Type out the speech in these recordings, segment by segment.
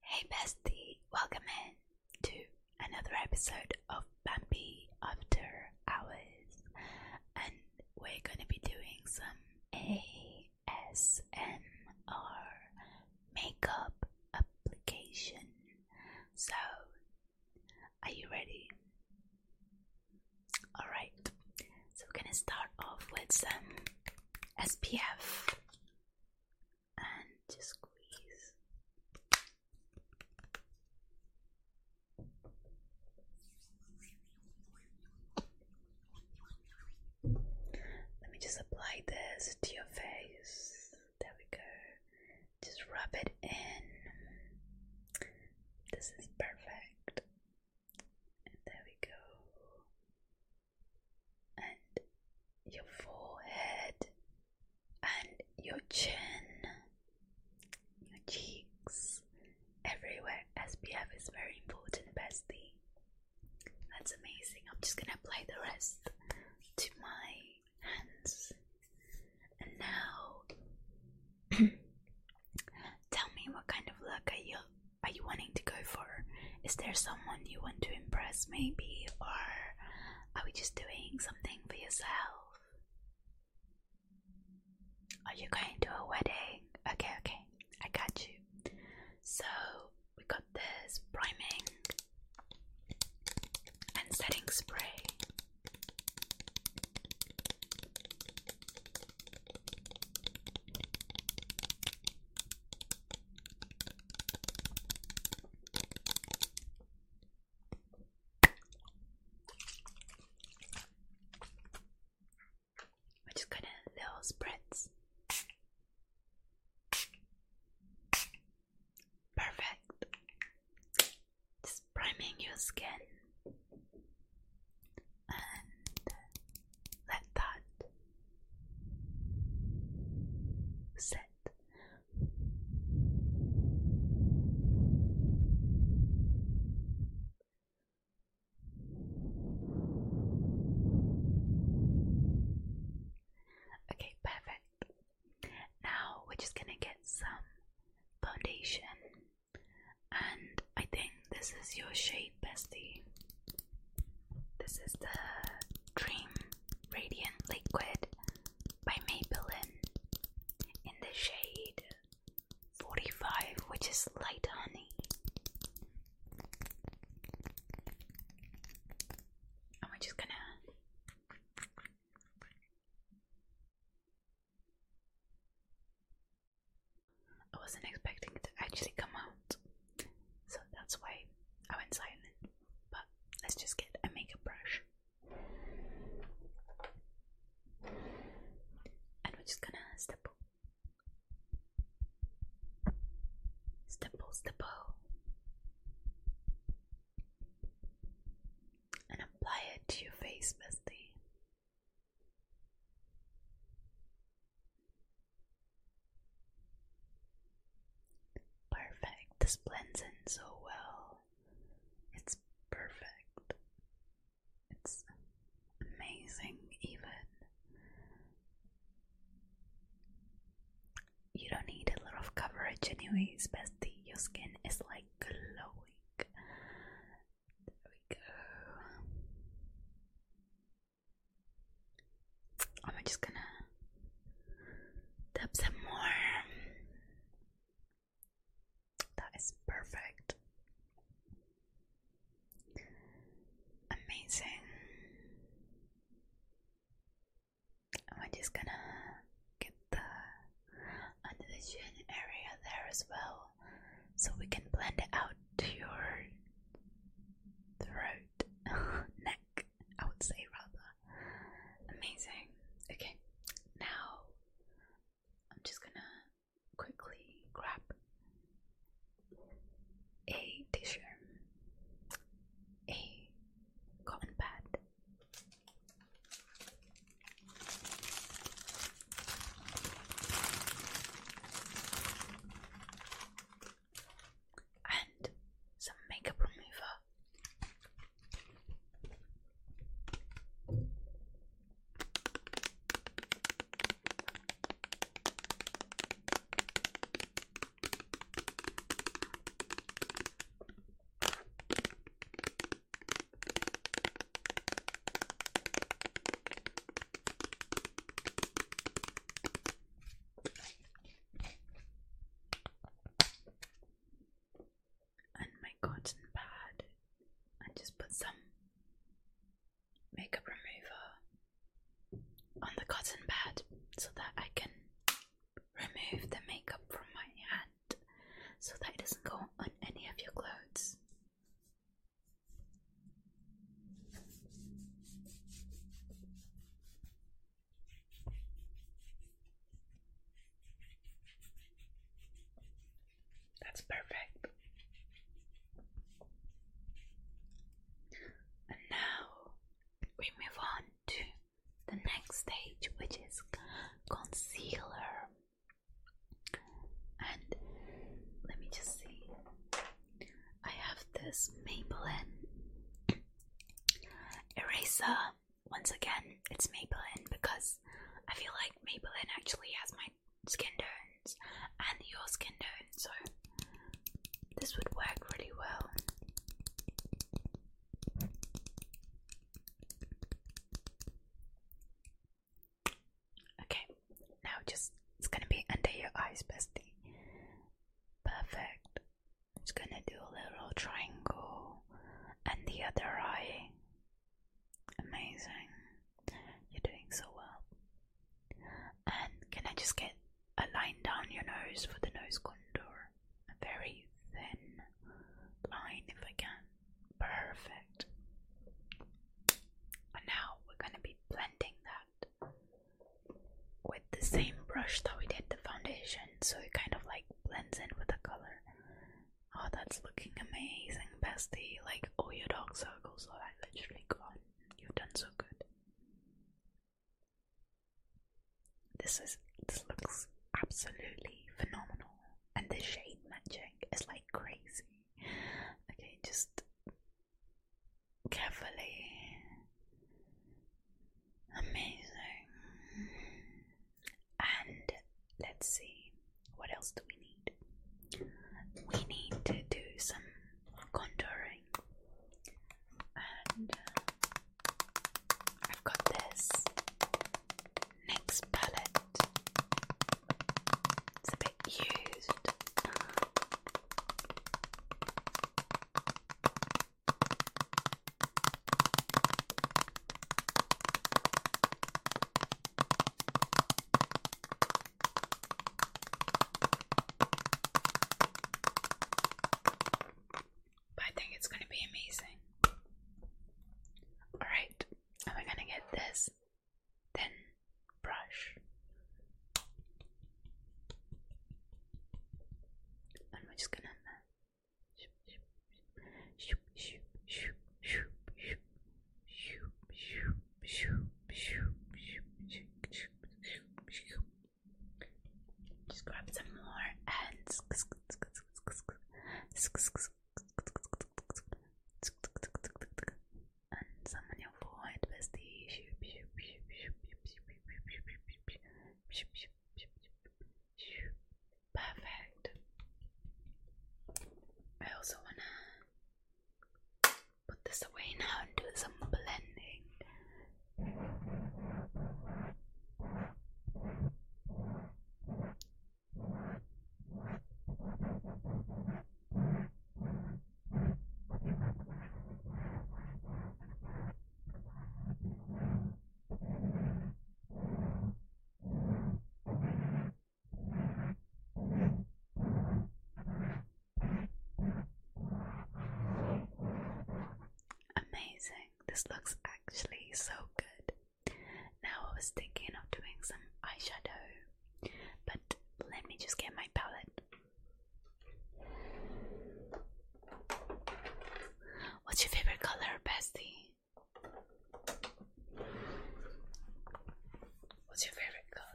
Hey bestie, welcome in to another episode of Bambi After Hours, and we're gonna be doing some ASMR makeup application. So, are you ready? Alright, so we're gonna start off with some SPF and just squeeze. Let me just apply this to your face. There we go. Just rub it in. This is perfect. there we go and your forehead and your chin, your cheeks, everywhere. SPF is very important, bestie. That's amazing. I'm just gonna apply the rest to my hands. And now, tell me what kind of look are you are you wanting to go for? Is there so someone you want to impress, maybe? Or are we just doing something for yourself? Are you going to a wedding? Okay, okay, I got you. So, we got this priming and setting spray. We're just gonna little spritz. Perfect. Just priming your skin and let that set. Okay, perfect. Now we're just gonna get some foundation, and I think this is your shade. Hey, This is the Dream Radiant Liquid by Maybelline in the shade 45, which is light honey. And we're just gonna. I wasn't expecting it to actually come out. So that's why I went silent. But let's just get a makeup brush. And we're just gonna stipple. Stipple, stipple. And apply it to your face, bestie. Perfect. This blends in so well. It's perfect. It's amazing, even. You don't need a lot of coverage, anyway. Especially Your skin is like glowing. There we go. I'm just gonna tap some more. That is perfect. Amazing. I'm just gonna get the under the chin area there as well so we can blend it out to your throat neck, I would say rather. Amazing. Okay, now I'm just gonna quickly grab a tissue, a cotton pad and some makeup remover and my cotton pad and just put some makeup remover on the cotton pad so that I can remove the makeup from my hand so that it doesn't go on any of your clothes. That's perfect. And now we move on to the next stage, which is concealer. And let me just see. I have this Maybelline eraser. Once again, it's Maybelline because I feel like Maybelline actually has my skin tones and your skin tone, so this would work really well. Okay, now just it's gonna be under your eyes, bestie. Perfect. It's gonna do a little triangle and the other eye. Amazing. You're doing so well. And can I just get a line down your nose for the nose contour? A very thin line if I can. Perfect. And now we're gonna be blending that with the same brush that we did the foundation so it kind of like blends in with the color. Oh, that's looking amazing, bestie. Like, all your dark circles are like literally gone. You've done so good. This is this looks absolutely phenomenal, and the shade matching is like crazy. Okay, just carefully. Amazing. And let's see, what else do we need? We need to do some contouring. And uh, I've got this next palette. It's a bit used. I think it's going to be amazing. Alright, am I going to get this? then brush. And we're just gonna just grab some more and and some on your forehead with the perfect. I also wanna put this away now and do some blending. Amazing, this looks actually so good. Now, I was thinking of doing some eyeshadow, but let me just get my palette. What's your favorite color, bestie? What's your favorite color?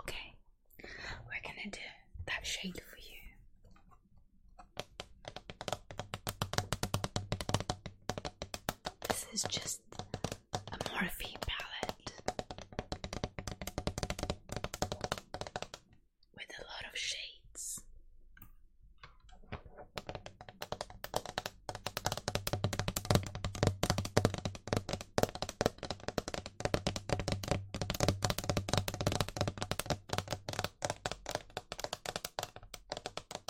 Okay, we're gonna do that shade for you. This is just a morphine palette with a lot of shades. And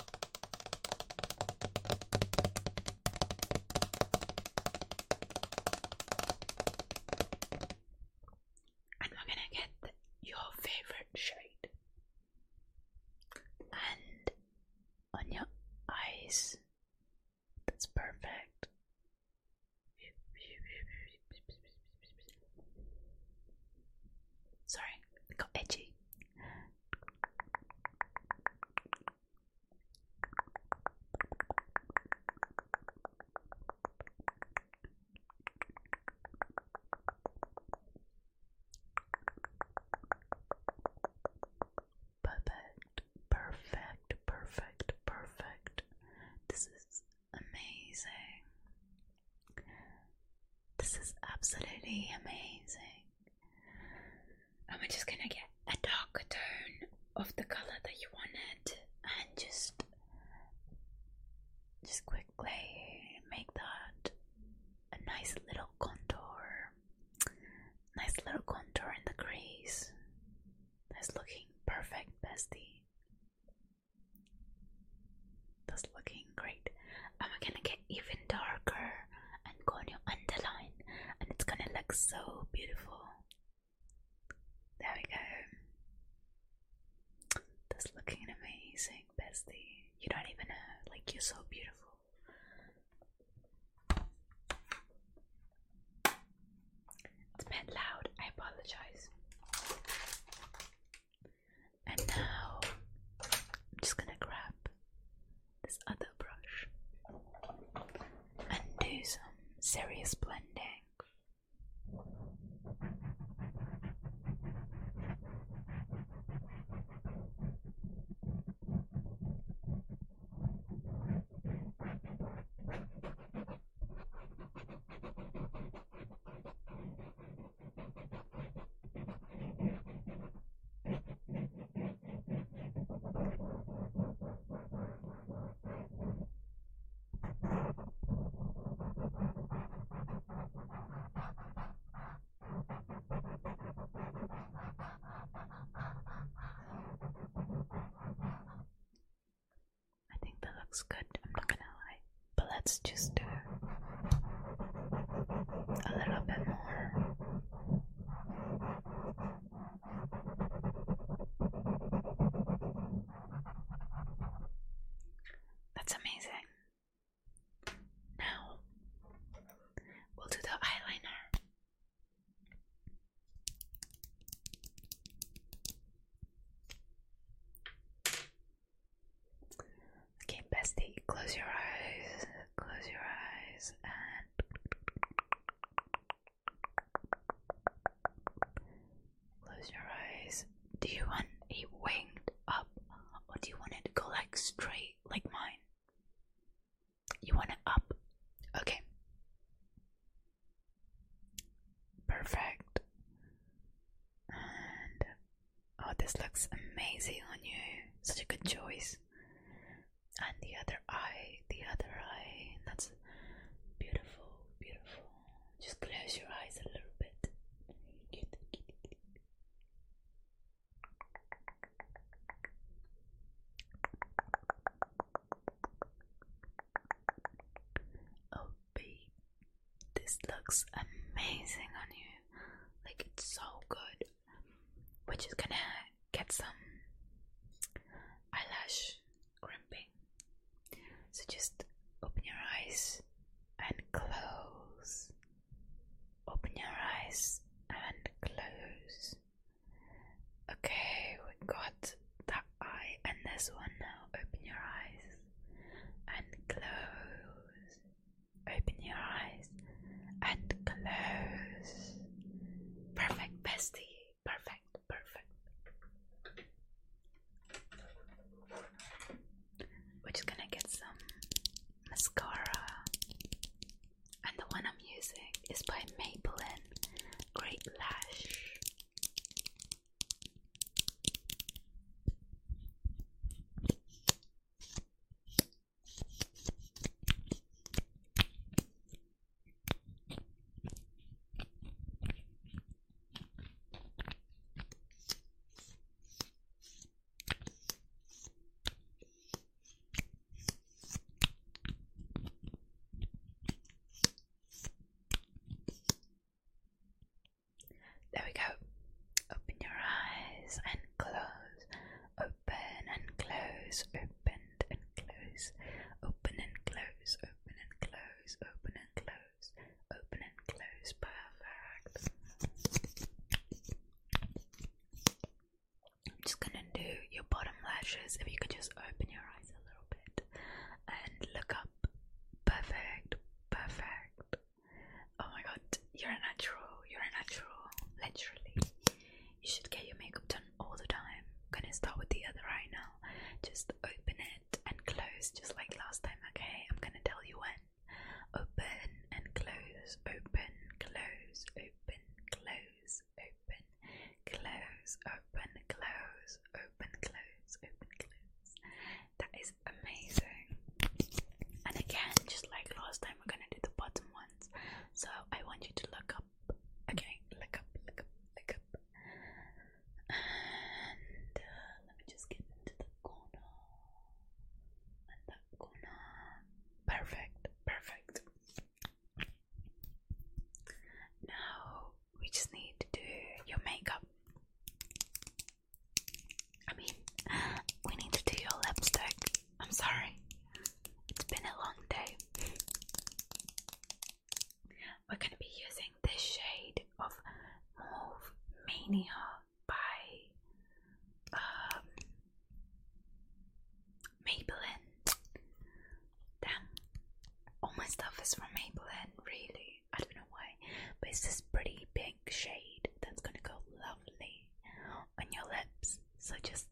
we gonna get your favorite shade. And on your eyes, that's perfect. Sorry, got edgy. Perfect, perfect, perfect, perfect. This is amazing. This is absolutely amazing. And we're just gonna get a darker tone of the color that you wanted and just just quickly make that a nice little contour. Nice little contour in the crease. That's looking perfect, bestie. That's looking great. I'm gonna get even darker and go on your underline, and it's gonna look so beautiful. There we go. That's looking amazing, bestie. You don't even know, like, you're so beautiful. It's a loud, I apologize. And now I'm just gonna grab this other brush and do some serious blending. I think that looks good, I'm not gonna lie. But let's just do a little bit more. That's amazing. Now we'll do the eyeliner. Okay, bestie, close your eyes, close your eyes, and close your eyes. Do you want it winged up, or do you want it to go like straight, like mine? You want it up? Okay. Perfect. And oh, this looks amazing on you. Such a good choice and the other eye, the other eye. That's beautiful, beautiful. Just close your eyes a little bit. Oh, babe, this looks amazing on you. Like, it's so good. We're just gonna get some eyelash crimping. So just open your eyes and close. Open your eyes and close. Okay, we got that eye and this one now. Open your eyes and close. Open your eyes and close. Perfect, bestie. Perfect, perfect. We're just gonna get some mascara. And the one I'm using is by Maybelline Great Lash. There we go. Open your eyes and close open and close, opened and close, open and close, open and close, open and close, open and close, perfect. I'm just gonna do your bottom lashes. If you could just open your eyes a little bit and look up, perfect, perfect, Oh my god, you're a natural, you're a natural, literally. You should get your makeup done all the time. I'm gonna start with the other eye now. Just open it and close, just like last time, okay? I'm gonna tell you when. Open and close, open, close, open, close, open, close, open, close, open, close, open, close. That is amazing. And again, just like last time, I'm gonna do the bottom ones. So I want you to look up. Okay, look up, look up, look up. And uh, let me just get into the corner. And that corner. Perfect, perfect. Now we just need to do your makeup. I mean, we need to do your lipstick. I'm sorry. It's been a long day. We're going to be using this shade of Mauve Mania by um, Maybelline. Damn, all my stuff is from Maybelline, really. I don't know why, but it's this pretty pink shade that's going to go lovely on your lips. So just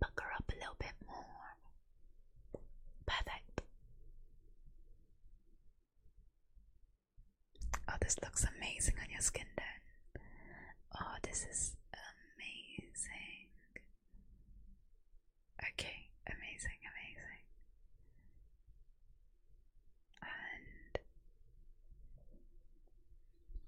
pucker up a little bit more. Perfect. Oh, this looks amazing on your skin then. Oh, this is amazing. Okay, amazing, amazing. And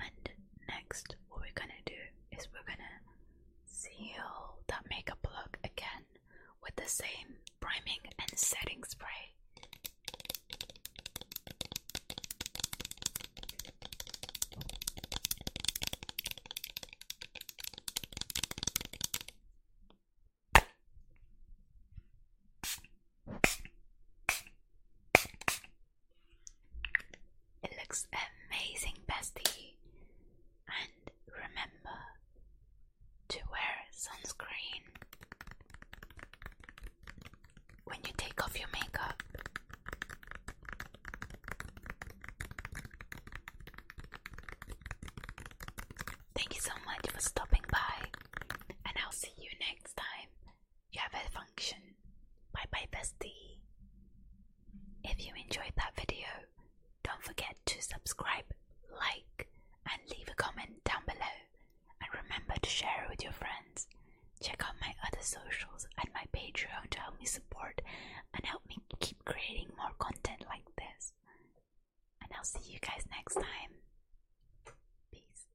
And next, what we're gonna do is we're gonna seal that makeup look again with the same priming and setting spray. It looks amazing, bestie. And remember to wear sunscreen when you take off your makeup. Thank you so much for stopping by, and I'll see you next time you have a function. Bye bye, bestie. If you enjoyed that video, don't forget to subscribe, like, and leave a comment down below. And remember to share it with your friends. Check out my other socials and my Patreon to help me support and help me keep creating more content like this. And I'll see you guys next time. Peace.